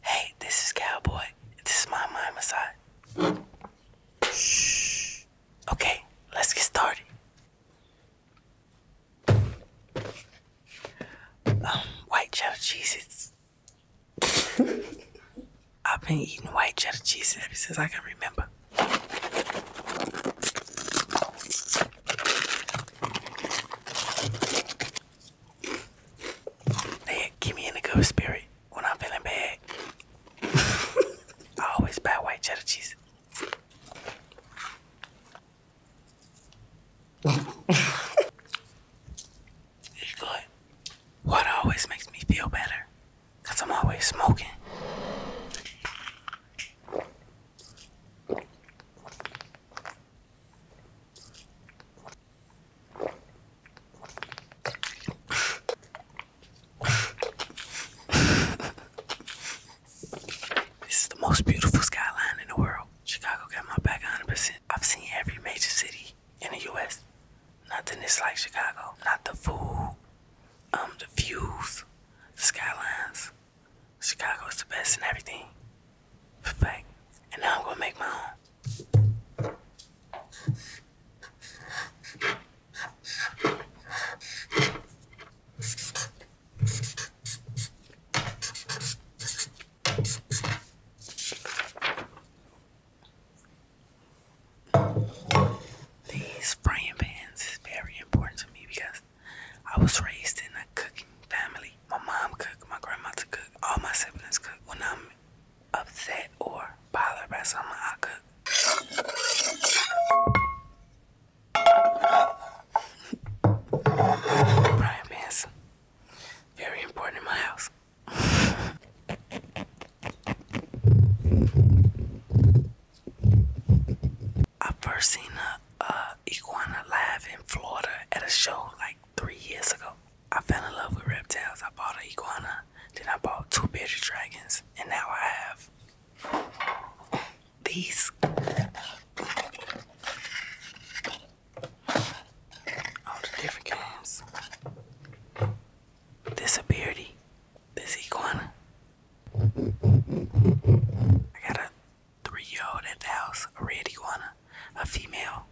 Hey, this is Cowboy. This is my mind massage. Shh. Okay, let's get started. Um, white cheddar cheeses. I've been eating white cheddar cheese ever since I can remember. They keep me in the good spirit when I'm feeling bad. I always buy white cheddar cheese. it's always makes me feel better because I'm always smoking. This is the most beautiful skyline in the world. Chicago got my back 100%. I've seen every major city in the US. Nothing is like Chicago. Not the food, um, the views, the skylines. Chicago is the best in everything. And now I'm gonna make my own. These frying pans is very important to me because I was raised in a cooking family. My mom cooked, my grandmother cooked, all my siblings cook. When I'm upset or bothered I cook. Brian Manson. Very important in my house. I first seen a, a iguana live in Florida at a show like three years ago. I fell in love with reptiles. I bought an iguana, then I bought two bearded dragons, and now I have these. All the different kinds. This a beardy. This iguana. I got a three-year-old at the house, a red iguana, a female.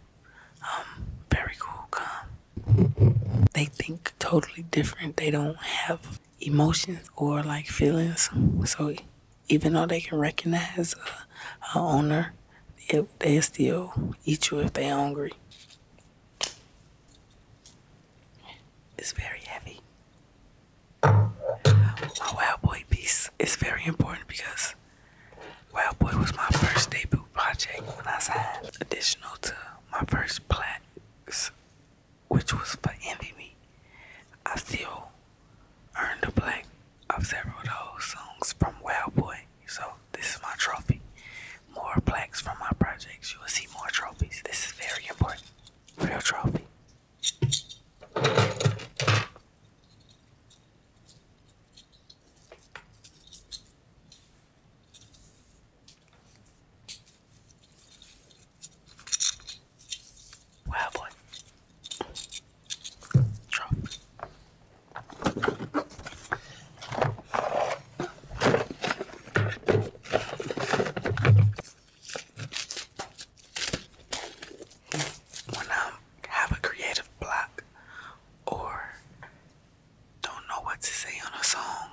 Um, very cool, calm. They think totally different. They don't have emotions or like feelings. So even though they can recognize a, owner, they, still eat you if they're hungry. It's very heavy. My wild boy piece is very important because Wild Boy was my first debut project when I signed, additional to my first plaques, which was for Envy Me. I still earned a plaque of several of those songs from Wild Boy, so this is my trophy. More plaques from my projects, you will see more trophies. This is very important. Real trophy. Wow, boy. Drop. When I'm um, have a creative block or don't know what to say on a song,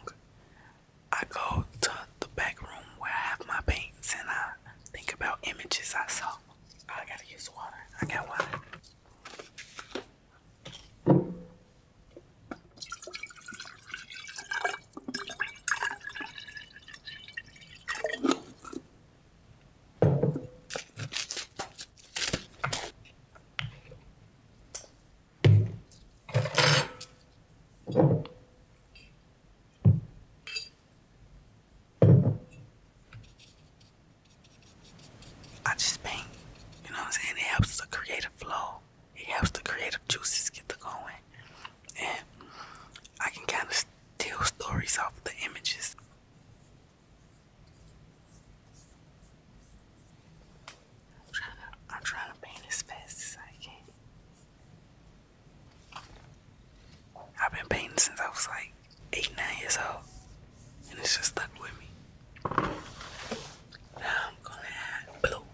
I go to the back room where I have my paints and I think about images I saw. I gotta use water. I got water. I just paint, you know what I'm saying? It helps the creative flow. It helps the creative juices get to going. And I can kind of steal stories off the images. I'm trying to I'm trying to paint as fast as I can. I've been painting since I was like eight, nine years old. And it's just stuck with me. Now I'm gonna add blue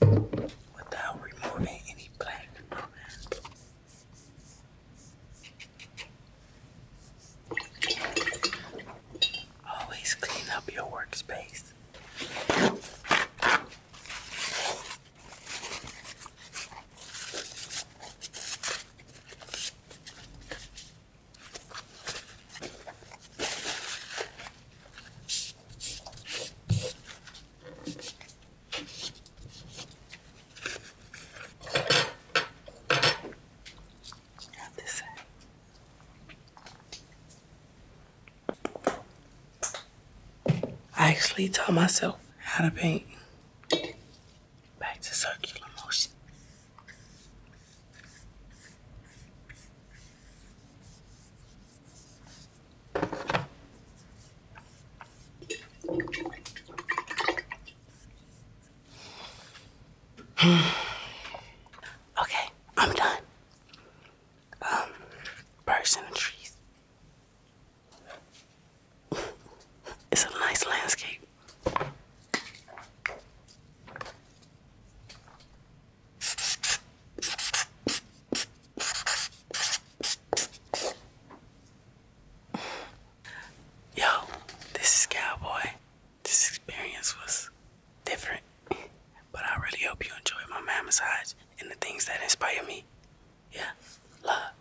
without removing any plastic Always clean up your workspace. I actually taught myself how to paint back to circular motion. okay, I'm done. Um, birds in the trees. it's a nice landscape. Yo, this is Cowboy. This experience was different, but I really hope you enjoyed my man massage and the things that inspire me. Yeah, love.